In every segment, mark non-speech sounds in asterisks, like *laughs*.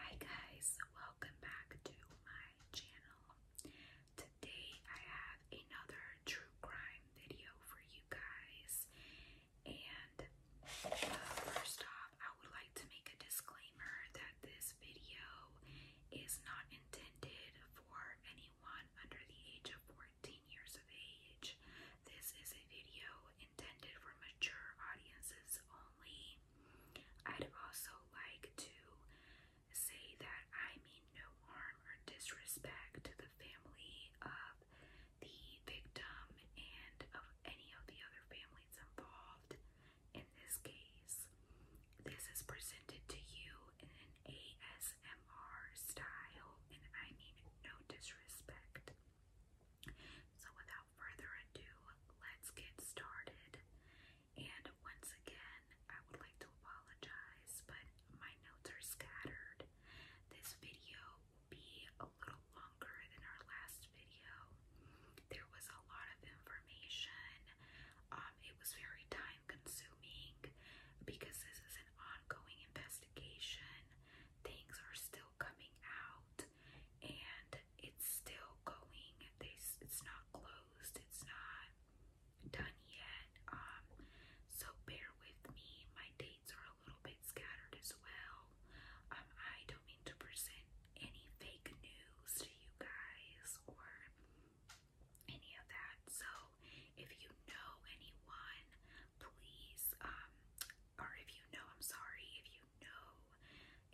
Hi guys, welcome back to my channel. Today I have another true crime video for you guys. And uh, first off, I would like to make a disclaimer that this video is not intended for anyone under the age of 14 years of age. This is a video intended for mature audiences only. I'd also like to say that I mean no harm or disrespect to the family of the victim and of any of the other families involved in this case. This is presented to you in an ASMR style, and I mean no disrespect. So, without further ado, let's get started. And once again, I would like to apologize, but my notes are scattered. This video will be a little longer than our last video. There was a lot of information. Um, it was very time consuming because this is an ongoing investigation. Things are still coming out and it's still going. They, it's not closed. It's not done yet. Um, so bear with me. My dates are a little bit scattered as well. Um, I don't mean to present any fake news to you guys or any of that. So if you know anyone, please, um, or if you know, I'm sorry, if you know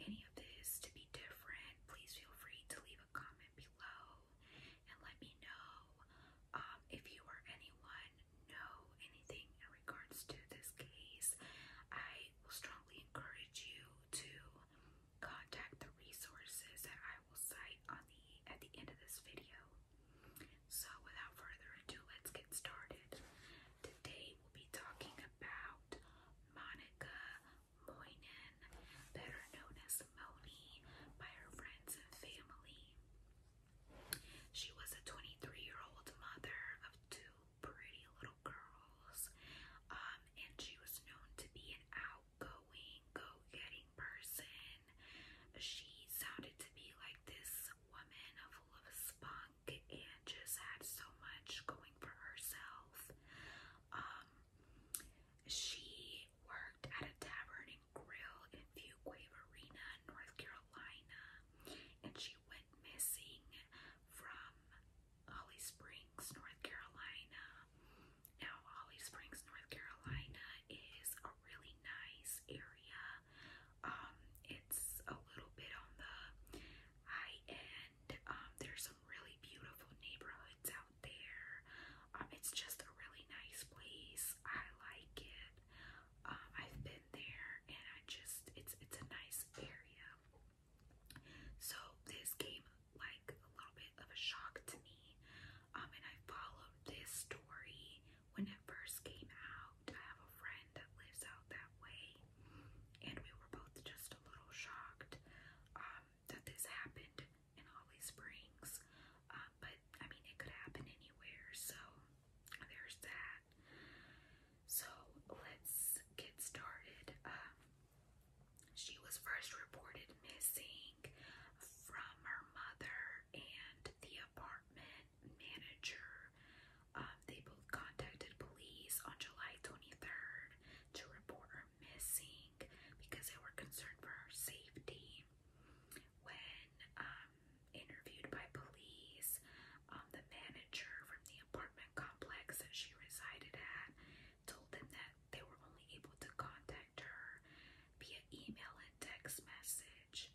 any of this to be different, please feel free to leave a comment below and let me know um, if you or anyone know anything in regards to this case. I will strongly encourage you to contact the resources that I will cite on the at the end of this video. So without further ado, let's get started. Today we'll be talking about Monica Moynan, better known as Moni by her friends and family. She was a 23-year-old mother of two pretty little girls, um, and she was known to be an outgoing, go-getting person. She sounded to be like this woman full of spunk and just had so much going for herself. Um, she worked at a tavern and grill in Fuquay Arena, North Carolina, and she went missing from Holly Springs, North Carolina. Now, Holly Springs, North Carolina is a really nice area. Um, it's a little bit on the high end. Um, there's some really beautiful neighborhoods out there. Um, it's just a really nice place. I like it. Um, I've been there, and I just it's it's a nice area. So this came like a little bit of a shock to me. Um, and I followed this story when it first came out. I have a friend that lives out that way. And we were both just a little shocked um, that this happened in Holly Springs. Uh, but I mean, it could happen anywhere, so there's that. So let's get started. Um, she was first reported missing from her mother and the apartment manager um, they both contacted police on July 23rd to report her missing because they were concerned for her safety. When um, interviewed by police, um, the manager from the apartment complex that she resided at told them that they were only able to contact her via email and text message.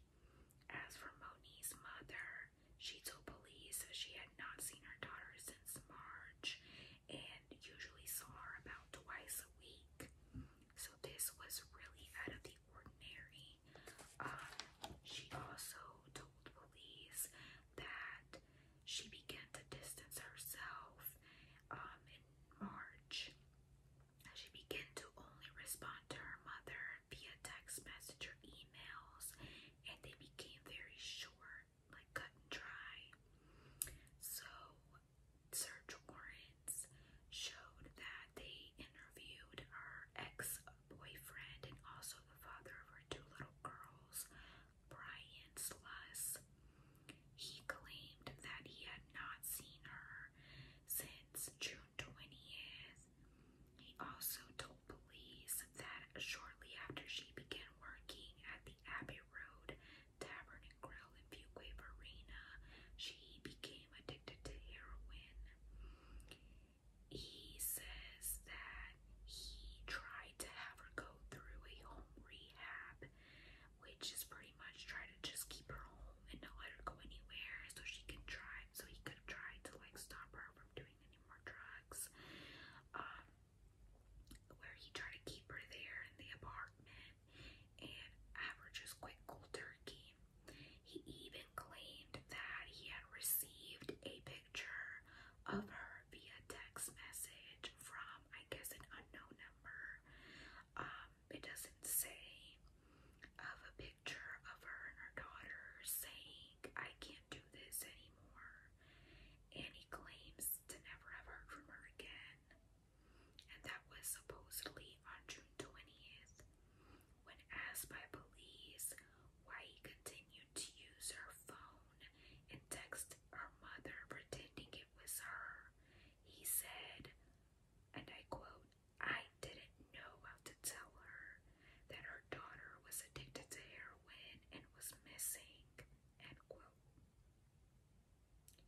As for Moni's mother, she told police she had not seen her daughter since March and usually saw her about twice a week. So this was really out of the ordinary. Um, she also told police that she began to distance herself um, in March. She began to only respond to her mother via text message or emails and they became very short, like cut and dry. So search warrants showed that they interviewed her ex-boyfriend and also the father of her two little girls, Brian Sluss. He claimed that he had not seen her since June 20th, he also told police that shortly after she began working at the Abbey Road Tavern and Grill in Fuquay Arena, she became addicted to heroin. He says that he tried to have her go through a home rehab, which is pretty much try to just keep her home and not let her go anywhere so she can try so he could try to like stop her from doing any more drugs. Um, where he tried to keep her there in the apartment and have her just quit cold turkey. He even claimed that he had received a picture of her via text message from, I guess, an unknown number. Um, it doesn't say of a picture of her and her daughter saying I can't do this anymore. And he claims to never have heard from her again. And that was supposedly on June 20th. When asked by police why he continued to use her phone and text her mother pretending it was her, he said, and I quote, I didn't know how to tell her that her daughter was addicted to heroin and was missing. End quote.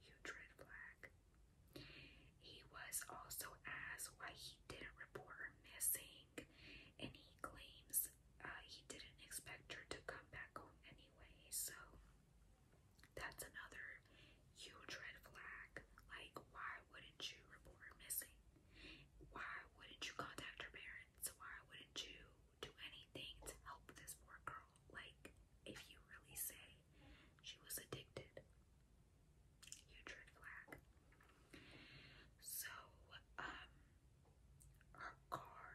Huge red flag. He was also asked why he didn't report her missing, and he claims uh, he didn't expect her to come back home anyway. So that's another huge red flag. Like, why wouldn't you report her missing? Why wouldn't you contact her parents? Why wouldn't you do anything to help this poor girl? Like, if you really say she was addicted, huge red flag. So, um, her car,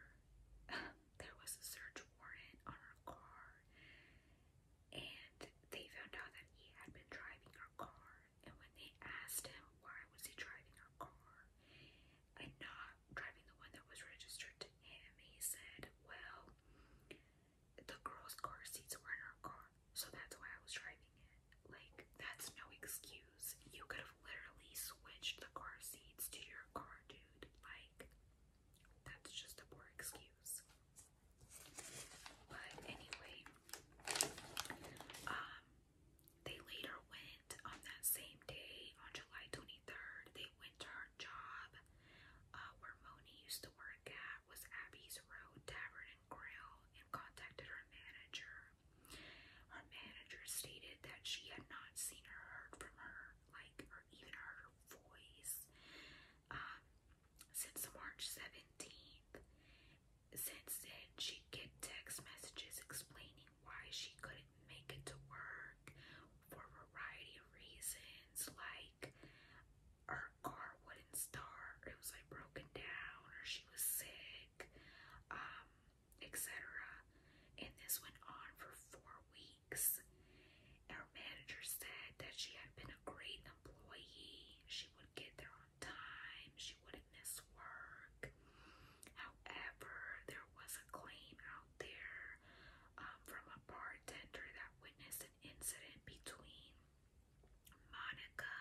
*laughs* there was a search warrant on her car, and they found out that he had been driving her car and when they asked him why was he driving our car and not driving the one that was registered to him, he said, Well, the girls' car seats were in our car, so that's why I was driving it. Like, that's no excuse. You could have literally switched the car seats to your car, dude. Like, that's just a poor excuse. But anyway, um, they later went on that same day, on July 23rd, they went to her job uh, where Moni used to work at, was Abby's Road Tavern and Grill, and contacted her manager. Her manager stated that she had not seen or heard from her, like, or even heard her voice, um, since March 17th. Since then, she'd get text messages explaining why she couldn't make it to work for a variety of reasons, like her car wouldn't start, it was like broken down, or she was sick, um, etc. And this went on for four weeks. Our manager said that she had been a great employee. She would get there time, she wouldn't miss work. However, there was a claim out there um, from a bartender that witnessed an incident between Monica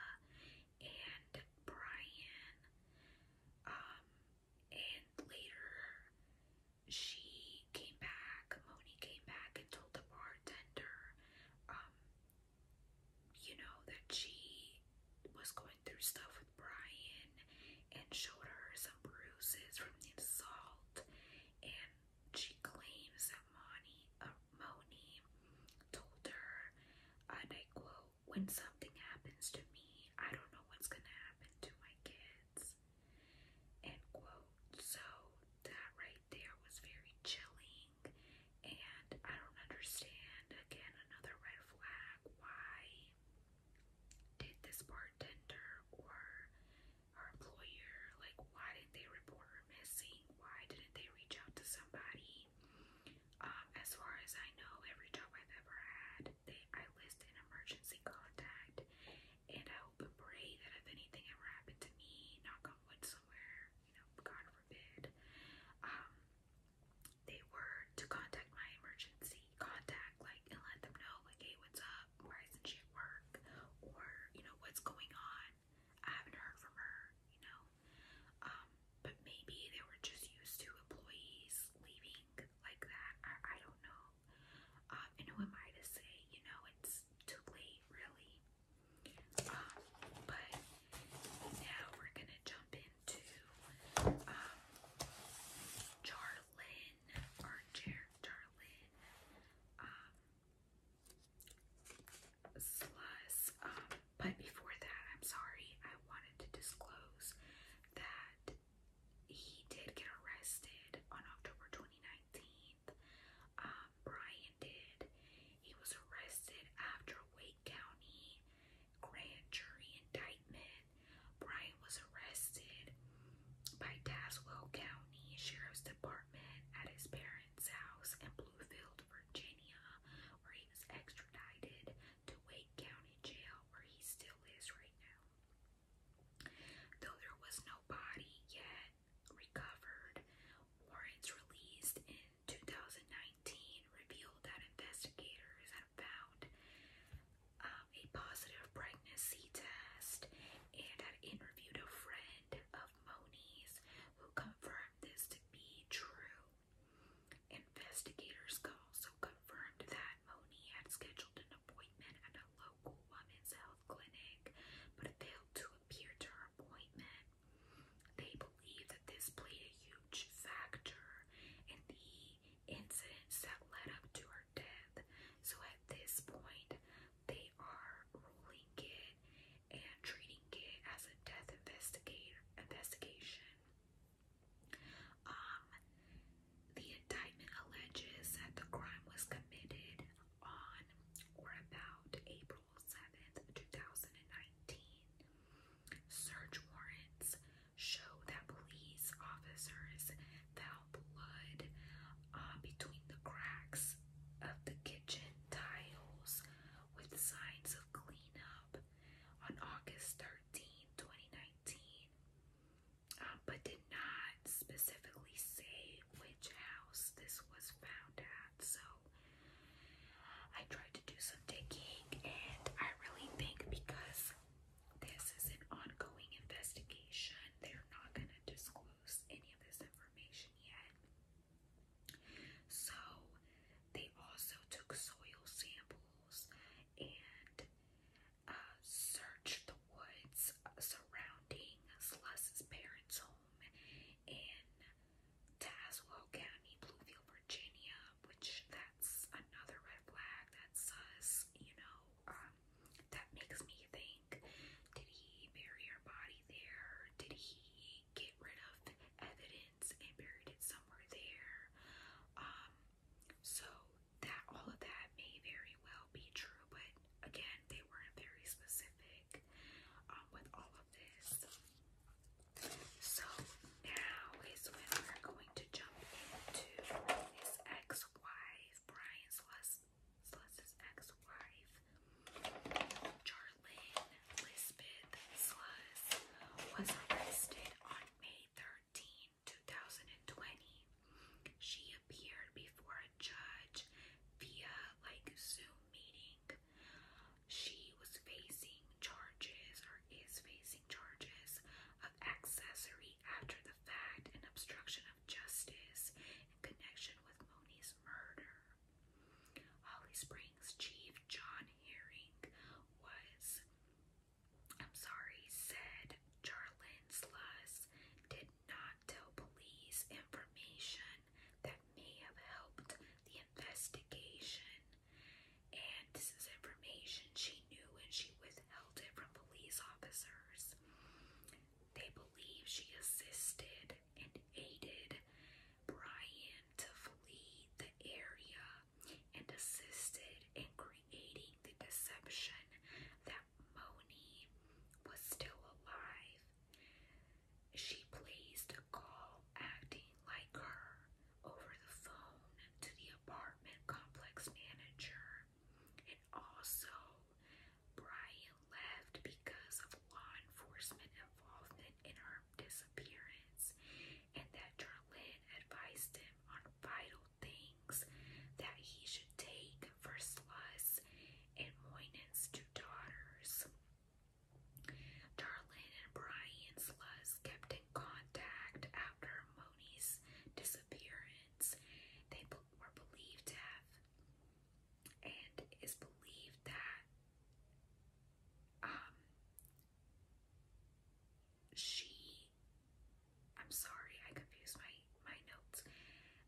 and Brian. Um, and later, she came back, Moni came back and told the bartender, um, you know, that she was going through stuff with Brian and showed her some bruises from the assault, and she claims that Moni, uh, Moni told her, and I quote, "When something happens to me, I don't know what's gonna happen to my kids." End quote. So that right there was very chilling and I don't understand, again, another red flag. Why did this bartender or her employer, like, why didn't they report her missing? Why didn't they reach out to somebody? Um, as far as I know, every job I've ever had, they I list an emergency contact, and I hope pray that if anything ever happened to me, knock on wood somewhere, you know, God forbid, um, they were to contact my emergency contact, like, and let them know, like, hey, what's up? Why isn't she at work? Or, you know, what's going on? I haven't heard from her, you know? Um, but maybe they were just used to employees leaving like that. I, I don't know. Um, and who am I to say, you know, it's too late, really? Um, but now we're gonna jump in to um, Charlin or Jar Charlin um, Sluss. Um, but before that, I'm sorry, I wanted to disclose that he did get arrested on October 2019. Um, Brian did. He was arrested after Wake County grand jury indictment. Bryant was arrested by Tazewell County Sheriff's Department at his parents' house in Bluefield, Virginia, where he was extradited to Wake County Jail, where he still is right now. Though there was no body yet recovered, warrants released in 2019 revealed that investigators had found um, a positive pregnancy test and had interviewed a friend of Moni's who confirmed this to be true. Investigators also confirmed that Moni had scheduled an appointment at a local women's health clinic but failed to appear to her appointment. They believe that this played a huge factor in the incidents that led up to her death. So at this point, they are ruling it and treating it as a death investigator investigation. Um, the indictment alleges that the crime was committed on or about April 7th, 2019. Search warrants show that police officers found blood uh, between the cracks of the kitchen tiles with signs of cleanup on August 13, 2019, um, but did not specifically say which house this was found at. So I tried to do some digging, and I really think because this is an ongoing investigation, they're not going to disclose any of this information yet. So, they also took soil samples and uh, searched the woods surrounding Sluss's parents' home in Tazewell County, Bluefield, Virginia, which that's another red flag. That's us, you know. Um, that makes me think: Did he bury her body there? Did he get rid of evidence and buried it somewhere there? Um, so that all of that may very well be true, but again, they weren't very specific um, with all of this. So now is when we're going to jump into his ex-wife, Brian Sluss, Sluss's ex-wife, Charlene Lisbeth Sluss, was arrested on May 13, She appeared before a judge via like Zoom meeting she was facing charges or is facing charges of accessory after the fact and obstruction of justice in connection with Moni's murder. Holly Springs Chief John Herring was, I'm sorry, said Charlene did not tell police information that may have helped the investigation, and this is information she knew and she withheld it from police officers. They believe she assisted and aided Brian to flee the area and assisted in creating the deception that Moni was still alive. She placed a call acting like her, over the phone to the apartment complex manager. And also, Brian left because of law enforcement involvement in her disappearance, and that Charlene advised him on vital things that he should take for Sluss and Moynan's two daughters. Darlin and Brian Sluss kept in contact after Moni's disappearance. They were believed to have, and is believed that um, she, I'm sorry, I confused my, my notes.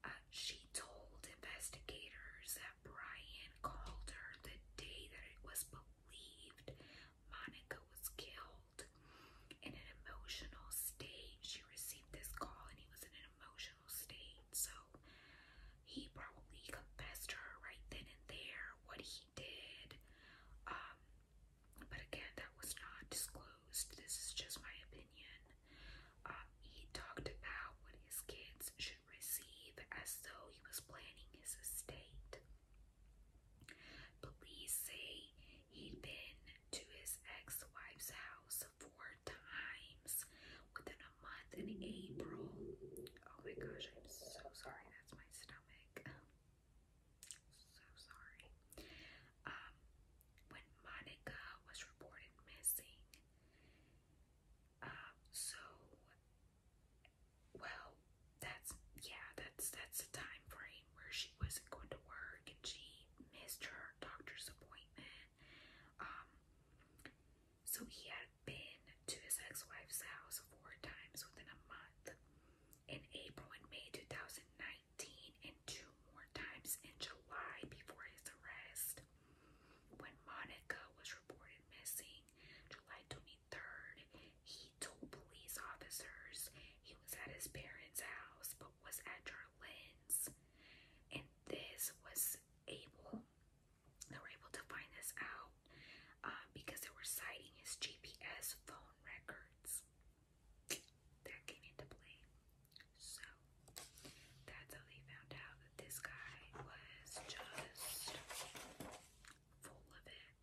Uh, she told investigators that Brian called her the day that it was believed Monica was killed in an emotional state. She received this call and he was in an emotional state. So he probably confessed her right then and there what he did. Um, but again, that was not disclosed. This is just my opinion. Um, he talked about what his kids should receive as though he was planning his estate. Police say he'd been to his ex-wife's house four times within a month in April. Oh my gosh, I'm so sorry. That's my stomach. *laughs* so sorry. Um, when Monica was reported missing, uh, so well, that's yeah, that's that's the time frame where she wasn't going to work and she missed her doctor's appointment. Um so he had been to his ex-wife's house four times within a month in April and May 2019 and two more times in July before his arrest. When Monica was reported missing July 20 23rd, he told police officers he was at his parents' house but was at Charlins. And this was able, they were able to find this out um, because they were citing his GPS phone records. That came into play. So that's how they found out that this guy was just full of it.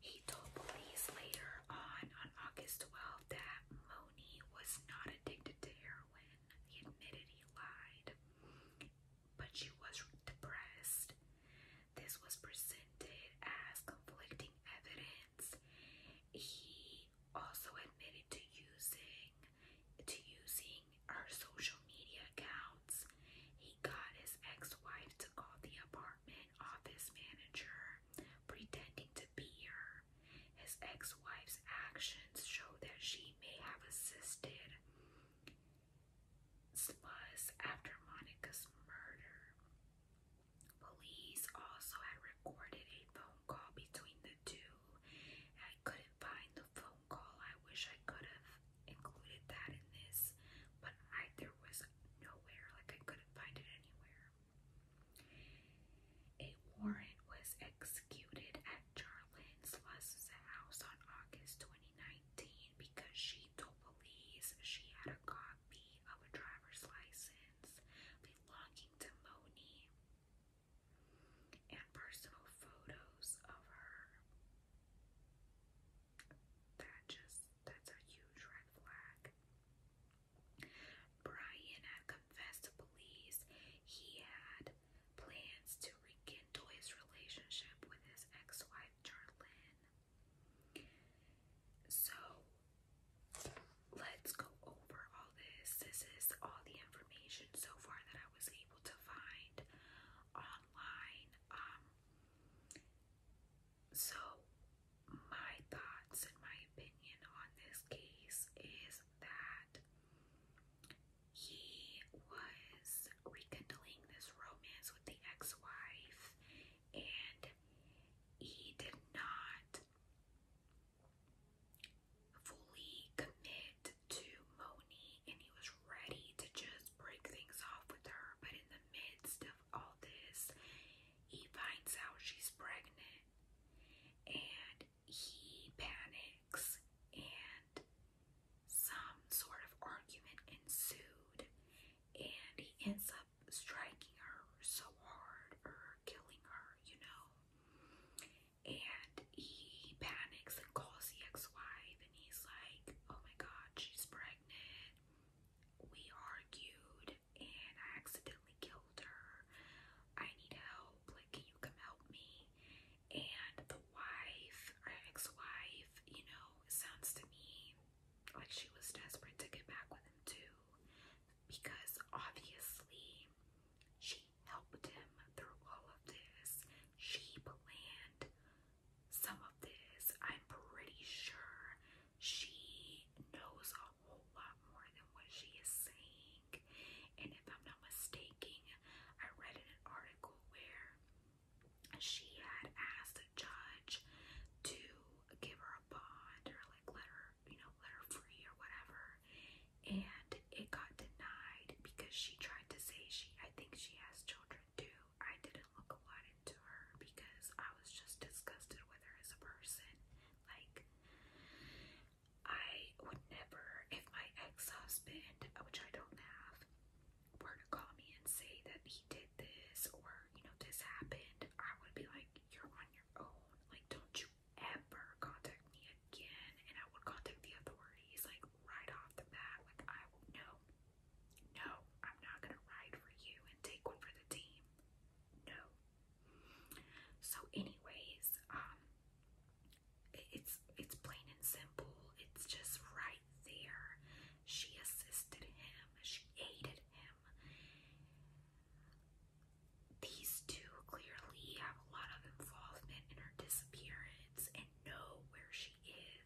He told police later on, on August 12, that Moni was not addicted to heroin. He admitted he lied, but she was depressed. This was presented as conflicting evidence. He also admitted to using to using her social media accounts. He got his ex-wife to call the apartment office manager, pretending to be her. His ex-wife's actions show that she may have assisted Spuzz after Monica's murder. Police also had recorded a phone call between the two. I couldn't find the phone call I wish I could have included that in this, but I there was nowhere, like I couldn't find it anywhere. A warrant was executed at Charlyn's house on August 2019 because she told police she had a copy of a driver's license belonging to Moni and personal photos of her. That just, that's a huge red flag. Brian had confessed to police he had plans to rekindle his relationship with his ex wife, Charlene. So, let's go over all this. This is all the information so far that I was able to find online. Um, so, my thoughts and my opinion on this case is that he was rekindling this romance with the ex wife, and he did not fully commit to Moni and he was ready to just break things off with her. But in the midst of all this, he finds out she's pregnant and he panics and some sort of argument ensued and he ends up striking her so hard or killing her, you know. And he panics and calls the ex-wife Ebony's like, oh my god, she's pregnant. We argued and I accidentally killed her. I need help. Like, can you come help me? And the wife, or ex wife, you know, sounds to me like she was desperate to get back with him too. Because obviously, she helped him through all of this. She planned some of this. I'm pretty sure she knows a whole lot more than what she is saying. And if I'm not mistaken, I read an article where she had asked a judge to give her a bond or like let her, you know, let her free or whatever. And it got denied because she tried to say she, I think she has children do, I didn't look a lot into her because I was just disgusted with her as a person. Like, I would never, if my ex husband, which I don't have, were to call me and say that he did this or, you know, this happened, I would be like, You're on your own. Like, don't you ever contact me again. And I would contact the authorities, like, right off the bat. Like, I would know. No, I'm not going to ride for you and take one for the team. No. So, anyways, um, it's it's plain and simple. It's just right there. She assisted him. She aided him. These two clearly have a lot of involvement in her disappearance and know where she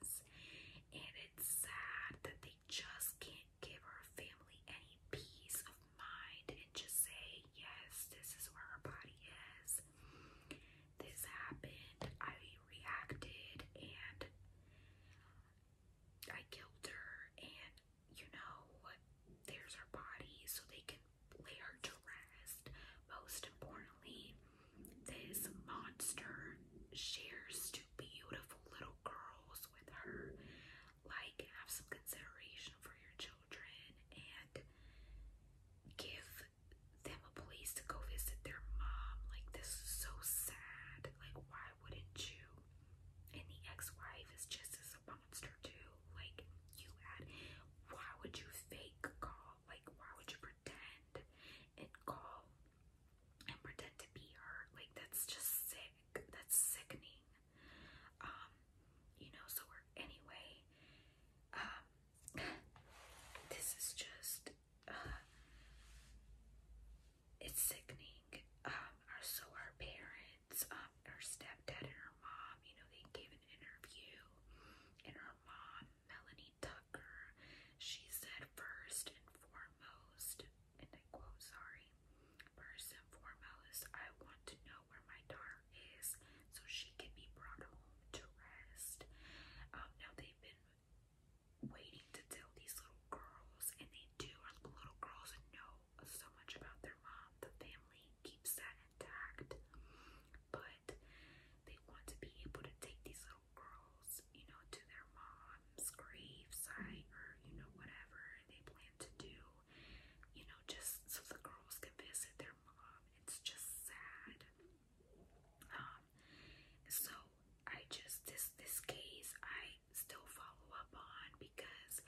is. And it's sad that they just can't give our family any peace of mind and just say, yes, this is where her body is. This happened. I reacted and I killed her. And you know, there's her body so they can lay her to rest. Most importantly, this monster shares two beautiful little girls with her. Like, have some consideration for your children and give them a place to go visit their mom. Like, this is so sad. Like, why wouldn't you? And the ex wife is just as a monster, too. Like, you had, why would you fake call? Like, why would you pretend? and call and pretend to be her. Like, that's just sick. That's sickening. Um, you know, so we're, anyway, um, *sighs* this is just, uh, it's sickening. Um, so our parents, um, our stepdad and her mom, you know, they gave an interview, and her mom Melanie Tucker. She said, first and foremost, and I quote, sorry, first and foremost, I want to know where my daughter is so she can be brought home to rest. Um, now they've been waiting to tell these little girls, and they do, and little girls know so much about their mom. The family keeps that intact, but they want to be able to take these little girls, you know, to their mom's gravesite or, you know, whatever they plan to do, you know, just so the girls can visit their mom. It's just sad. Um, so I just, this, this case I still follow up on because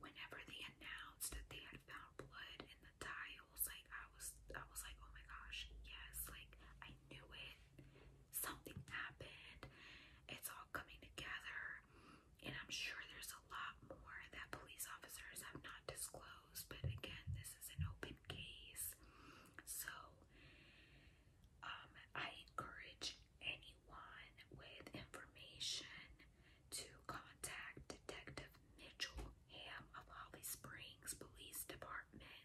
whenever they announced that they had found blood in the tiles, like I was, I was like, oh my gosh, yes, like I knew it, something happened. It's all coming together, and I'm sure there's a lot more that police officers have not disclosed. But again, this is an open case, so um, I encourage anyone with information to contact Detective Mitchell Ham of Holly Springs Police Department.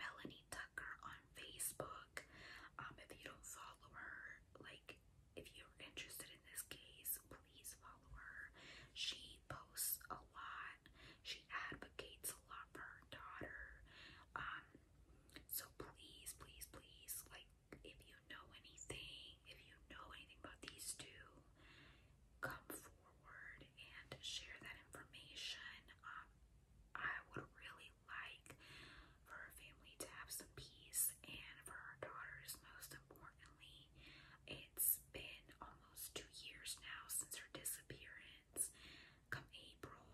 Melanie Tucker on Facebook. Um, if you don't follow her, like if you're interested in this case, please follow her. She posts a lot. She advocates a lot for her daughter. Um, so please, please, please, like if you know anything, if you know anything about these two, come forward and share that information. Um, I would really like for her family to have some peace and for her daughters, most importantly. It's been almost two years now since her disappearance, come April.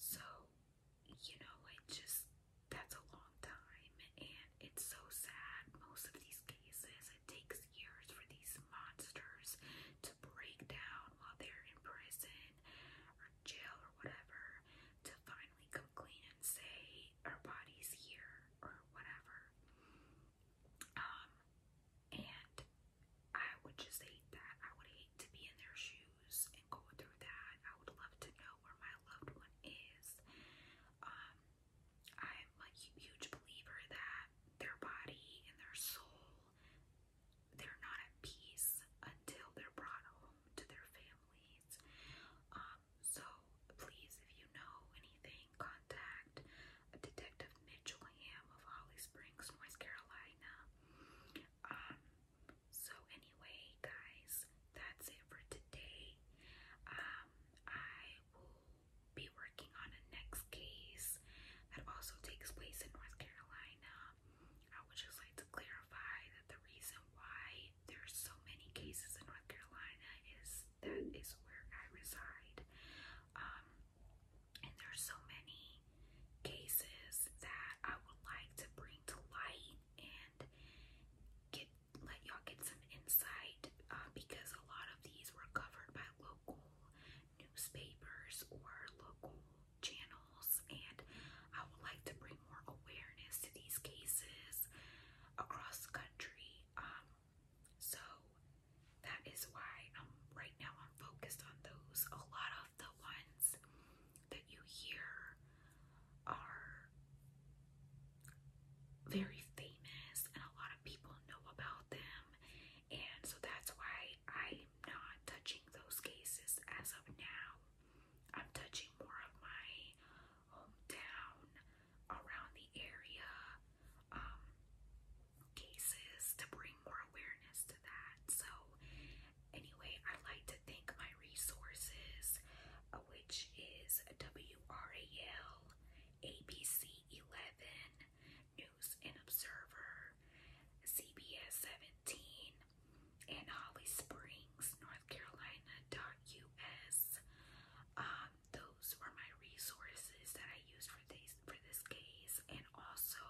So, you know, it just, that's a long time. And it's so sad. Most of these cases, it takes years for these monsters break down while they're in prison or jail or whatever to finally come clean and say our body's here or whatever. Um, and I would just hate that. I would hate to be in their shoes and go through that. I would love to know where my loved one is. Um, I'm a huge believer that their body and their soul they're not at peace until they're brought home to their families. Um, so please, if you know anything, contact Detective Mitchell Ham of Holly Springs, North Carolina. Um, so anyway, guys, that's it for today. Um, I will be working on a next case that also takes place in North Carolina. I would just like to clarify that the reason why there's so many cases in North Carolina is that is where I reside. Um, and there are so many cases that I would like to bring to light and get let y'all get some insight uh, because a lot of these were covered by local newspapers or local channels, and I would like to bring more awareness to these cases across the country. Um, so that is why i right now I'm focused on those. A lot of the ones that you hear are very famous and a lot of people know about them and so that's why I'm not touching those cases as of now. I'm touching more of my hometown around the area um, cases to bring more awareness to that. So, anyway, I like to thank my resources, uh, which is WRAL, ABC11, News and Observer, CBS 17, and Holly Springs, North Carolina.us. Um, those were my resources that I used for this for this case, and also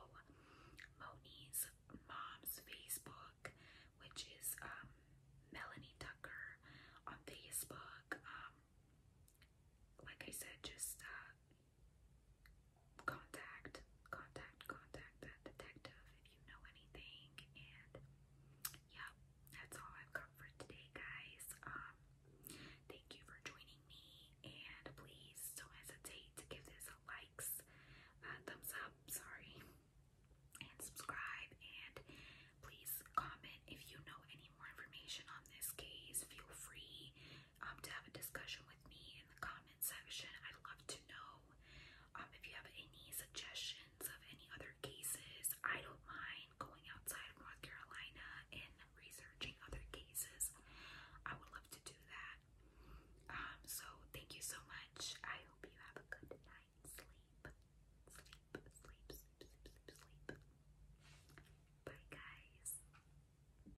Moni's mom's Facebook, which is um, Melanie Tucker on Facebook. Um, like I said, just uh, contact, contact, contact detective if you know anything. And yeah, that's all I've got for today, guys. Um, thank you for joining me, and please don't hesitate to give this a likes, thumbs up, sorry, and subscribe. And please comment if you know any more information on this case. Feel free um, to have a discussion with me in the comment section. I'd love to know um, if you have any suggestions of any other cases. I don't mind going outside of North Carolina and researching other cases. I would love to do that. Um, so thank you so much. I hope you have a good night's sleep. Sleep, sleep, sleep, sleep, sleep. Bye, guys.